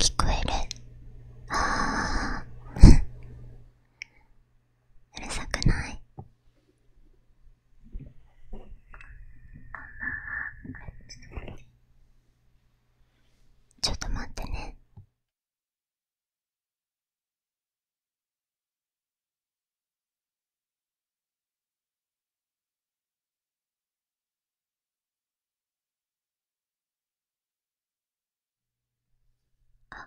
聞こえるあうるさくないちょっと待ってねあ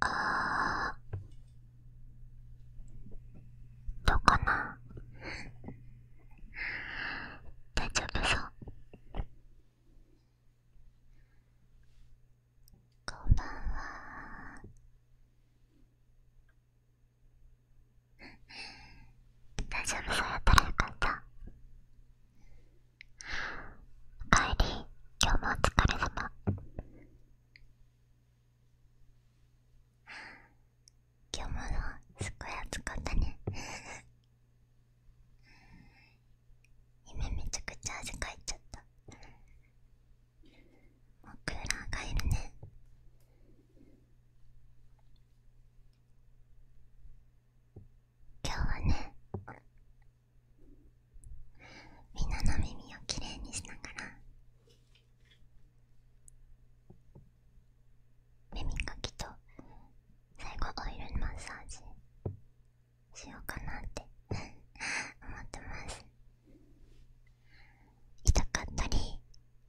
あどうかな大丈夫そうこんばんは大丈夫そうやったらよかった帰り今日もお疲れ様今日もすっごい暑かったね 今めちゃくちゃ汗かいちゃったもうクーラーがいるね今日はねみんなの耳をきれいにしながら耳かきと最後オイルマッサージしようかなって思ってます痛かったり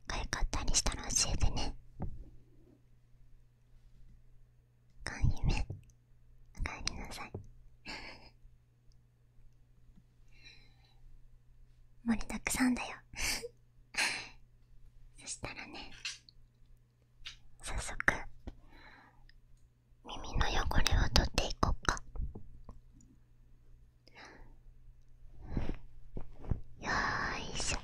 かゆかったりしたら教えてねあめおかえりなさい盛りだくさんだよ そしたらねさっそく耳の汚れを取っていこっかよいしょ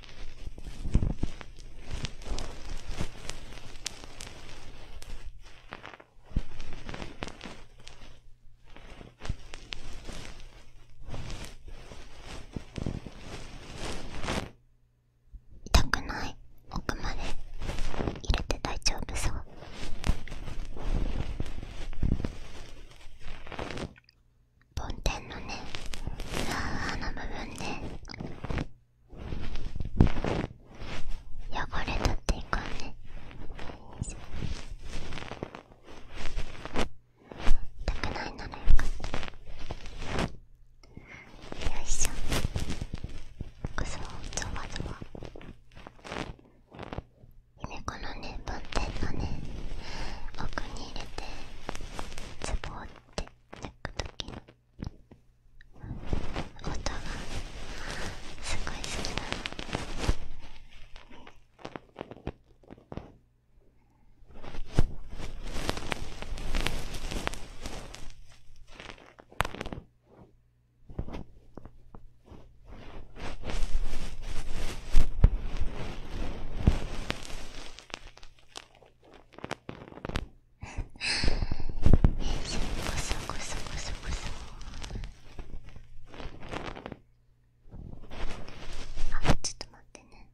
痛くない奥まで入れて大丈夫そう梵天のね裏側の部分ね。汚れだっていかんね痛くないならよかったよいしょくそゾまゾワゆめこのね梵天のね奥に入れてツボって抜く時の音がすごい好きなの。こそこそごそごそあちょっと待ってね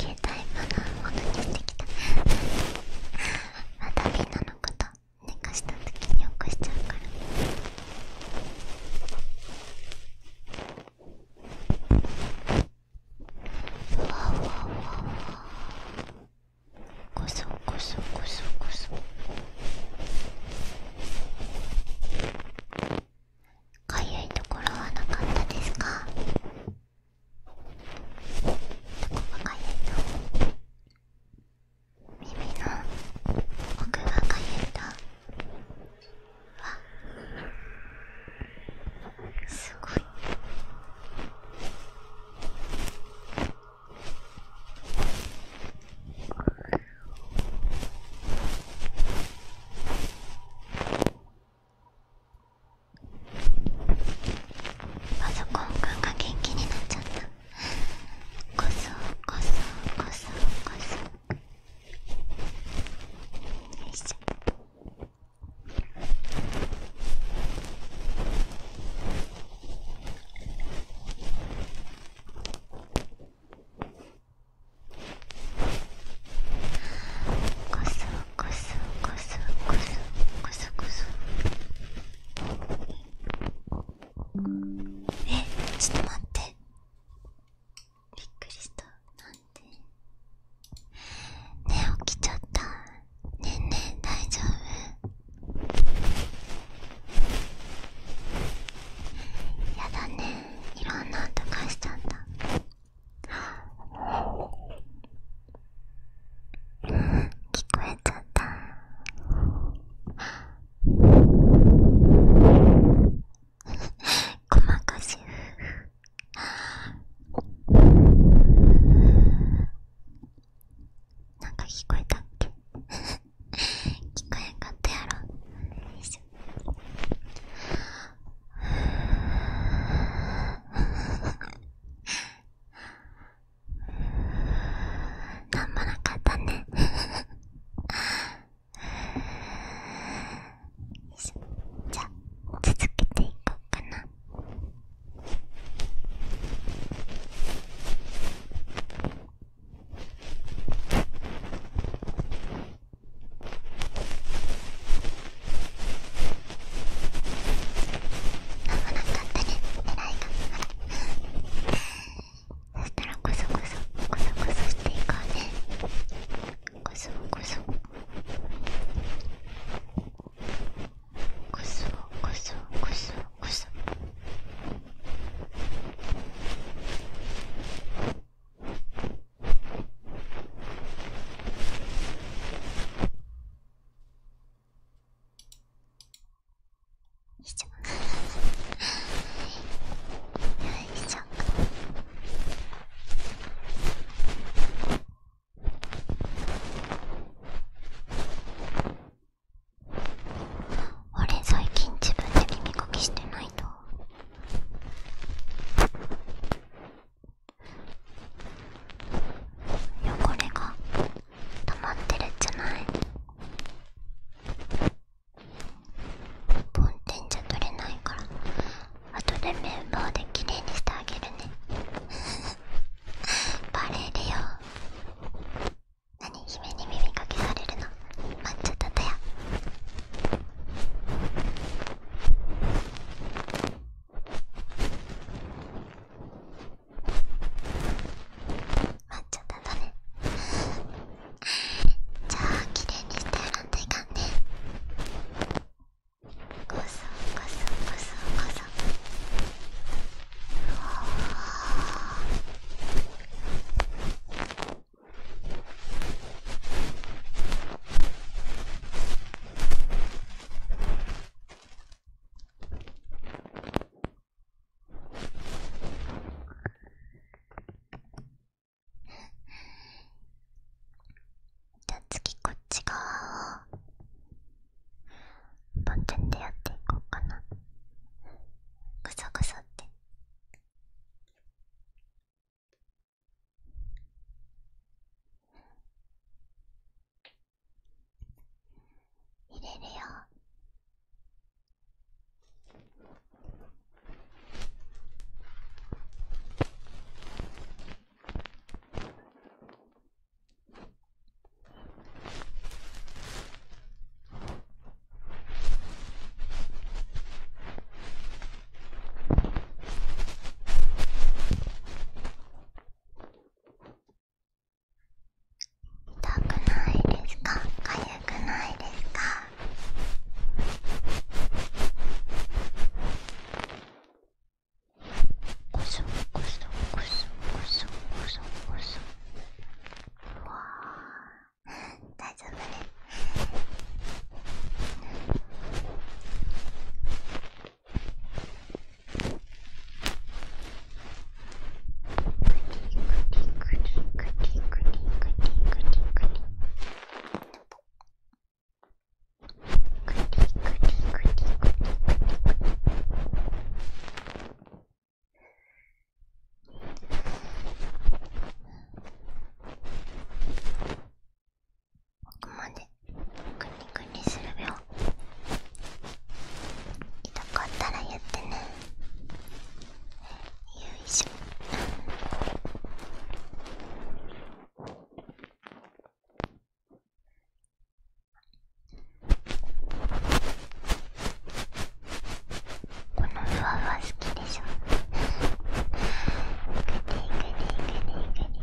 携帯まだ戻ってきてきたまたみんのこと寝かした時に起こしちゃうから。うわうわうわわこそこそこそこそかゆいところはなかったですかかゆいと耳の奥がかゆいた。わすごい。パソコンくんが元気になっちゃったこそこそこそこそよいしょこそこそこそこそこそこそえちょっと待ってびっくりしたなんでねえ起きちゃったねえねえ大丈夫やだねいろんな音がしちゃった聞こえちゃった細かしなんか聞こえたっけ聞こえんかったやろよいしょあ頑張らんかったね じゃあ続けていこうかな危なかったね偉いがそしたらこそこそこそこそしていこうねこそこそこそこそこそこそ以上以上俺最近自分で耳かきしてないと汚れが溜まってるんじゃない梵天じゃ取れないから後でメンバーで綺麗にしてあげるね バレるよ何姫に耳かけられるのっちゃったたやまっちゃったんだねじゃあ綺麗にして洗っていかんねこそこそこそこそじゃあ次こっち側をバケンでやっていこうかなぐさぐさってん。入れるよ痛くないですかかゆくないですかこそこそこそこそこそこそうわ大丈夫ね奥までくにくにするべよ痛かったら言ってねよいしょこのふわふわ好きでしょグニグニグニグニ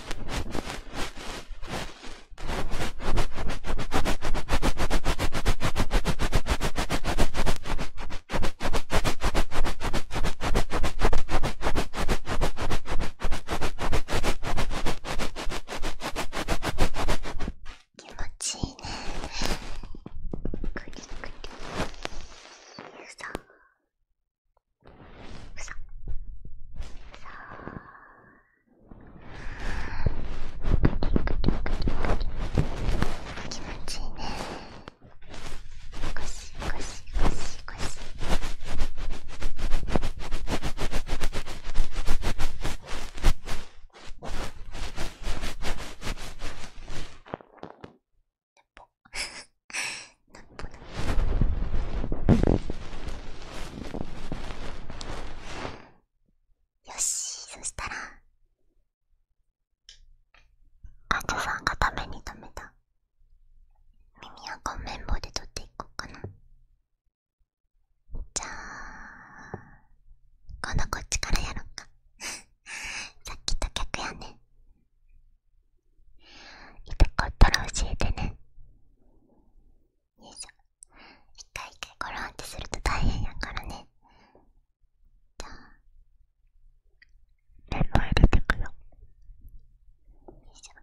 気持ちいいねクリクリさんささあ気持ちいいねゴシゴシゴシゴシぽなっぽだよしそしたらあちさんがために止めた耳あか綿棒で取っていこうかなじゃあ今度こっちからやろっか さっきと逆やね痛かったら教えてねよいしょ一回一回ゴろんってすると大変やからねじゃあレモン入れてくよよいしょ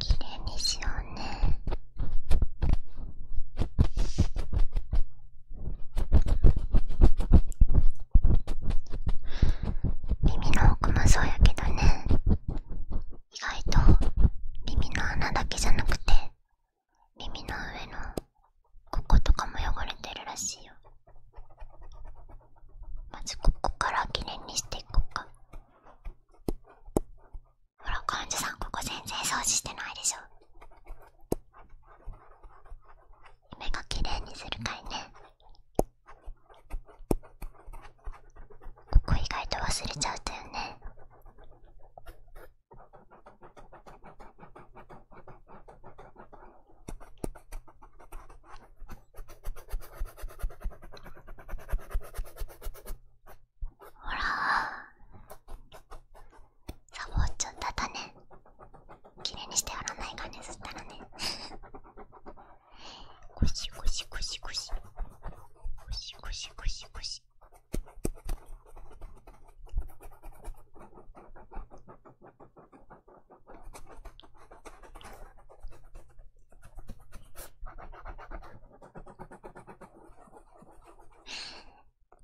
きれいにしようね耳の奥もそうやけどね意外と耳の穴だけじゃなくて耳の上のこことかも汚れてるらしいよまずここからきれいにしていこうかほら患者さんここ全然掃除してないでしょ目がきれいにするかいねここ意外と忘れちゃうとだよねほらサボっちゃっただね綺麗にしてやらないかねそしたらねゴシゴシゴシゴシゴシゴシゴシゴシ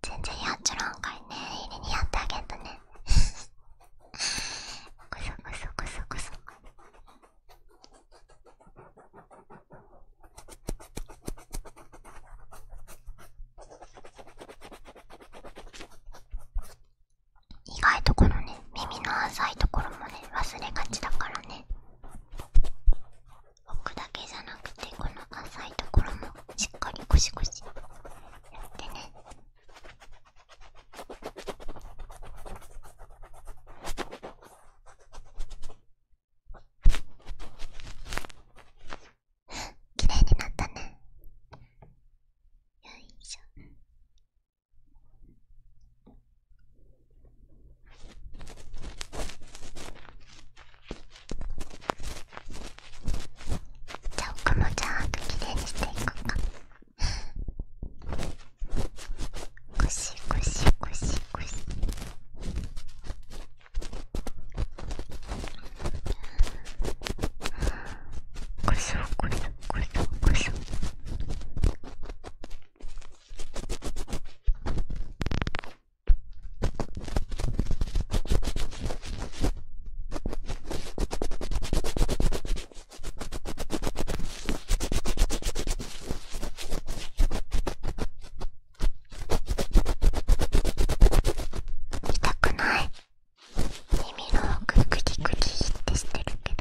全然やっちゃらんかいね入りにやってあげんとねこそこそこそこそ意外とこのね耳の浅いところもね忘れがちだからねくだけじゃなくてこの浅いところもしっかりゴシゴシやってね 綺麗になったねよいしょじゃあ奥もちゃんときれいにしていこうかゴシゴシゴシゴシこれだこれだこれだこれだ痛くない耳の奥グリグリってしてるけど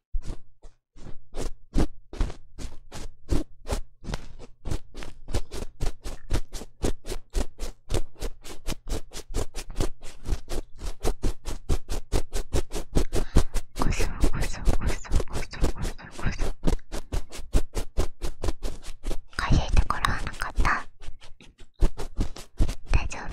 ごそごそごそごそごそごそかゆいところはなかった大丈夫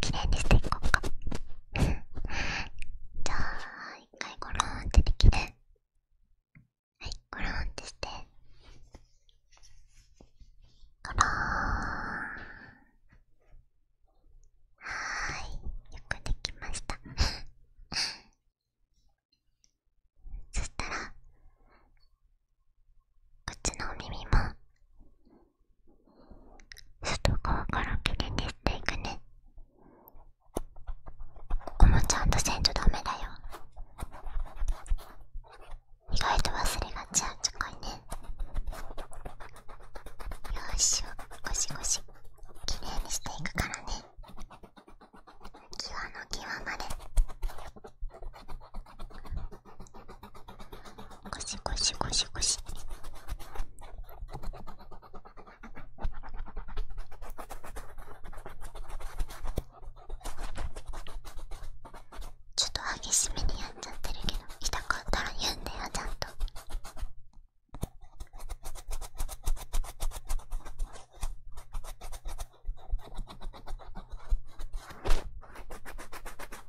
綺麗にしていこうかじゃあ一回ゴローンってできて。はいゴローンってしてゴローンはいよくできましたそしたらこっちのお耳も外側からきれいにしていくねおもちゃんとせんとダメだよ意外と忘れがちやんちつかいねよいしょゴシゴシきれいにしていくからね際の際までゴシゴシゴシゴシちょっと激しめにやっちゃってるけど痛かったら言うんだよちゃんと。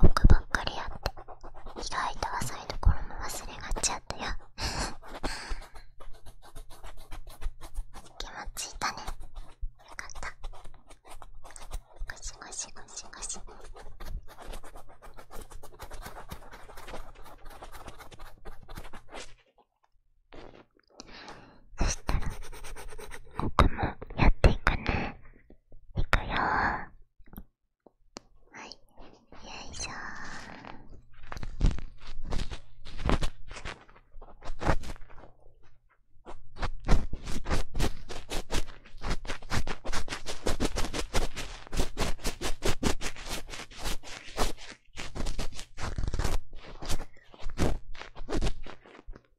文句ばっかりやって意外と浅いところも忘れがちやったよ 気もちいたねよかったゴシゴシゴシゴシそしたら僕もやっていくねいくよはいよいしょ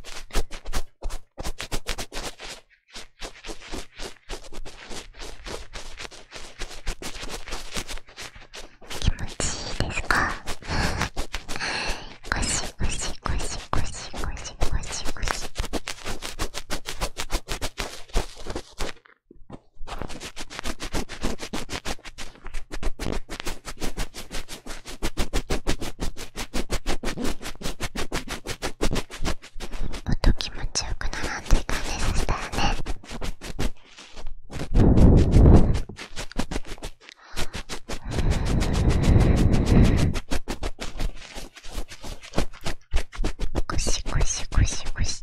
気持ちいいですかゴシゴシゴシゴシゴシっと気持ちよくならんといかんですしたよねゴシゴシゴシゴシ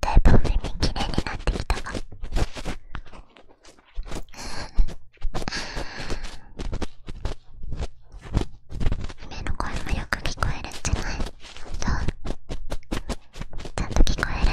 だいぶ耳きれいになってきたが目の声もよく聞こえるんじゃないそうちゃんと聞こえる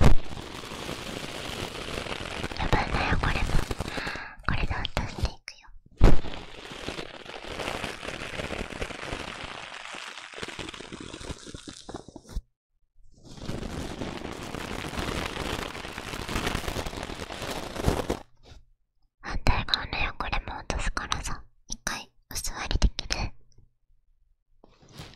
やばいんだよこれもこれで落とていくよ反対側の汚れも落とすからさ一回お座りできる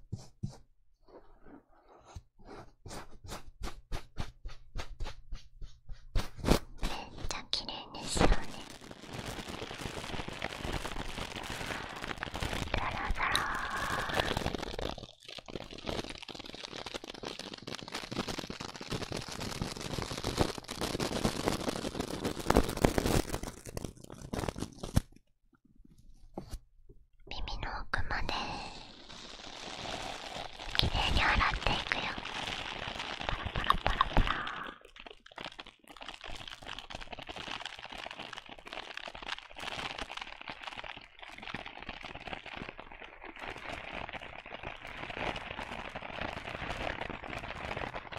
めっちゃん綺麗にしよねザラザラ耳の奥まできれいに洗っていくよパラパラパラパラ耳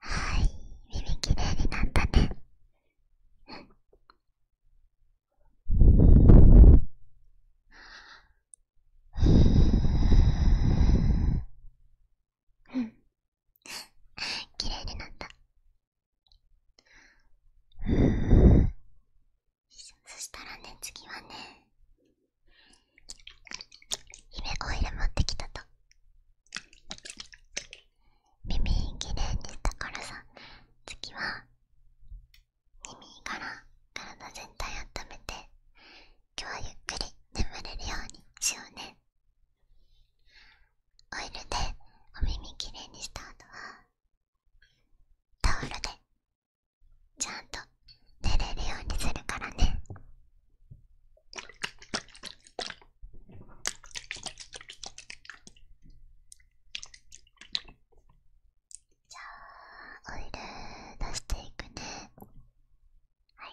はい、耳きれいになったね。うん綺麗になったそしたらね次はね姫オイル持ってきたと耳きれいにしたからさ次は耳から体全体温めて今日はゆっくり眠れるようにしようねオイルでお耳きれいにした後はタオルでちゃんと寝れるようにするからねじゃあオイル出していくねはい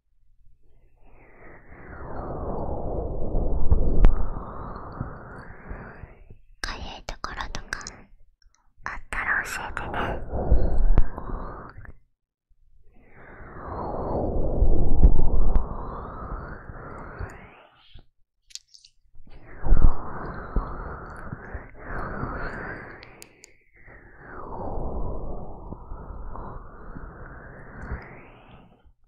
かゆいところとかあったら教えてね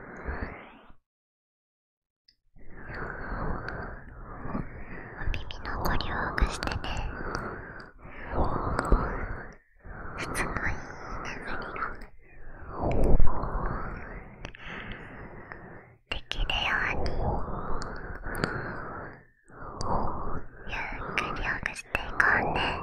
耳のごりをくしてねすごい流れができるようにゆっくりほぐしていこうね。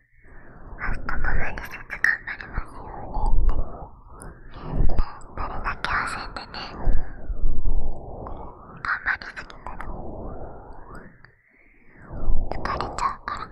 明日も無理せず頑張りますようにって誰だけ焦っね頑張りすぎたら疲れちゃうから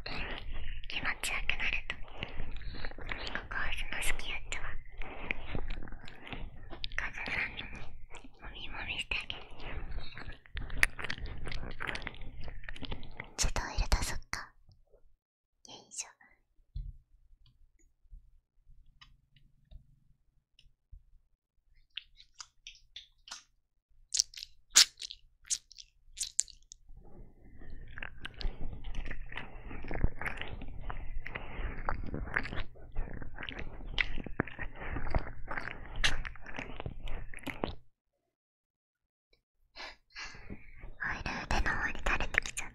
気持ちよくなるとここその好きやっちゃはカズさんにもみもみしてあげるちょっと入れたそっかよいしょオイル腕の方に垂れてきちゃった。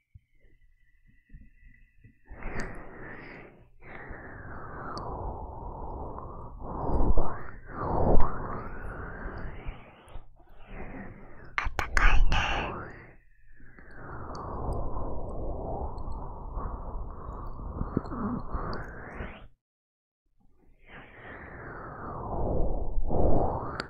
あったかいね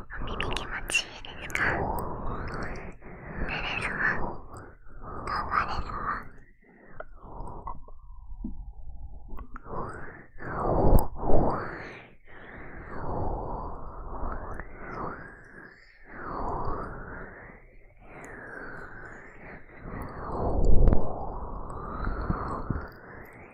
耳気持ちいいですか寝れそう頑張れそう耳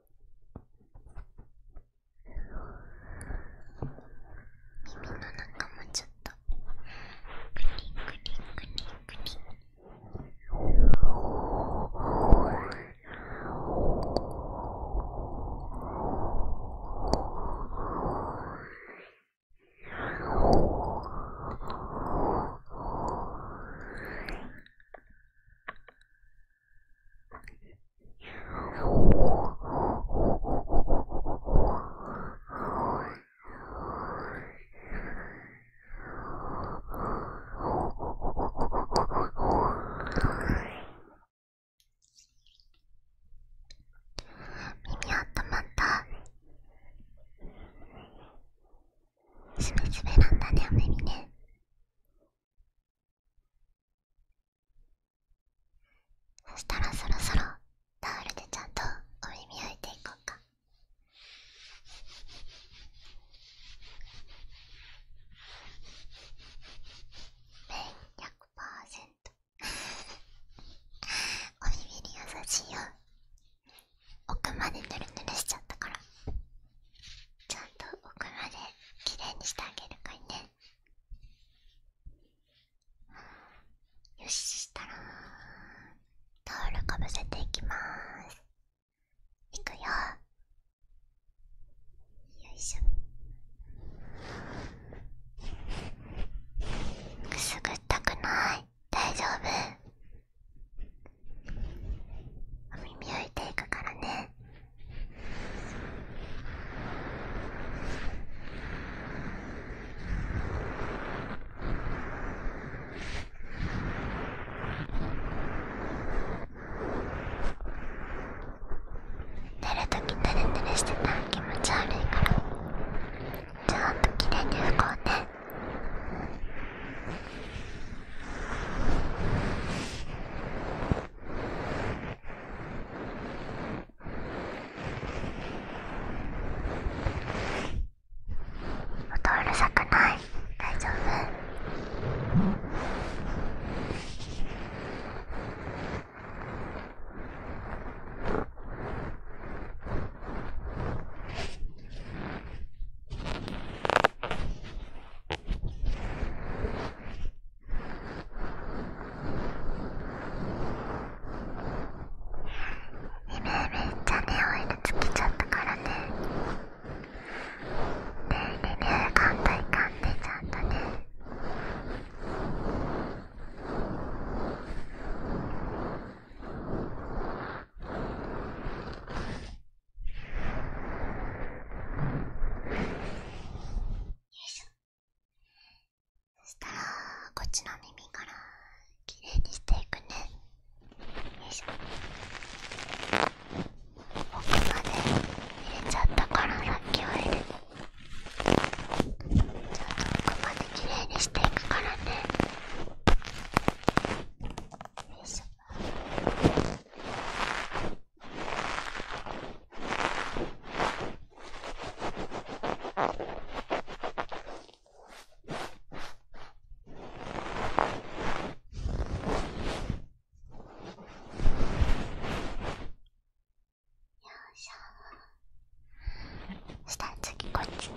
耳の中もちょっとクリクリクリクリ耳あったまったすべすべなんだねお耳ねそしたらそろそろタオルでちゃんと折り磨いていこうか。綿100% お耳に優しいよ奥までぬるぬるしちゃったからちゃんと奥まできれいにしてあげるかいねよししたらタオルかぶせていきますいくよよいしょくすぐったくない大丈夫お耳を置いていくからね寝るときテレテレしてたら気持ち悪いからちゃんときれいに拭こうね音うるさくない大丈夫今めっちゃねオイルつけちゃったからねねえねえねえ噛んだいでちゃんとねよいしょ。そしたらこっちの耳からきれいにしていくねよいしょ奥まで入れちゃったからさっきは入れてちょっと奥まできれいにしていくからねよいしょよいしょしたら次こっちね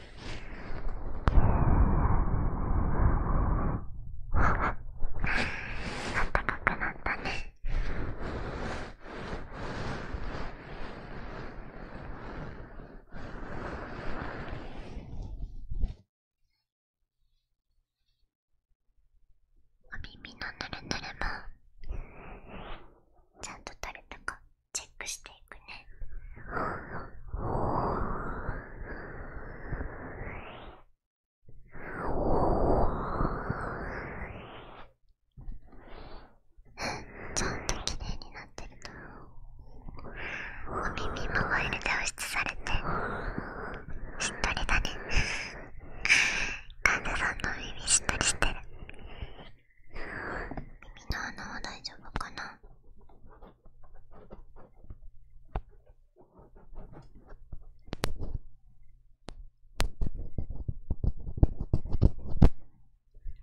あったかくなったね。お耳のぬるぬるもちゃんと取れたかチェックしていくねちゃんと綺麗になってるなお耳もオイルで保湿されてしっとりだね患者さんの耳しっとりして耳の穴は大丈夫かなこ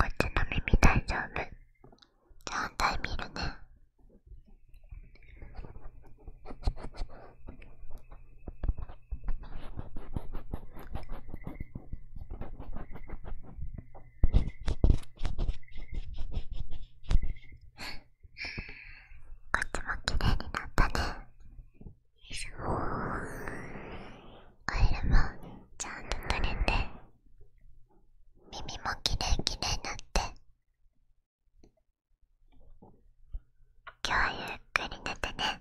っちの耳大丈夫じゃ反見るね こっちも綺麗になったねオイルもちゃんと取れて耳も綺麗綺麗になって今日はゆっくり寝てね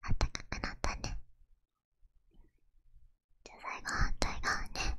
あったかくなったねじゃあ最後反対側ね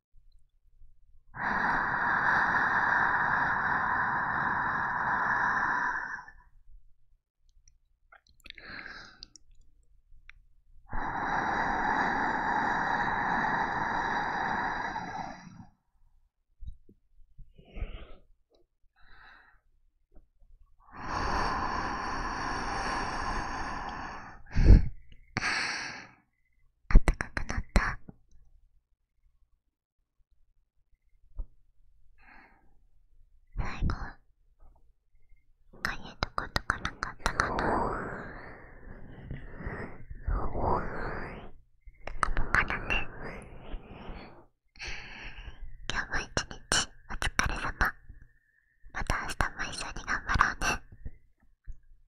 あったかくなった最後かゆいとことかなかったかなポカポカだね今日も一日お疲れ様また明日も一緒に頑張ろうね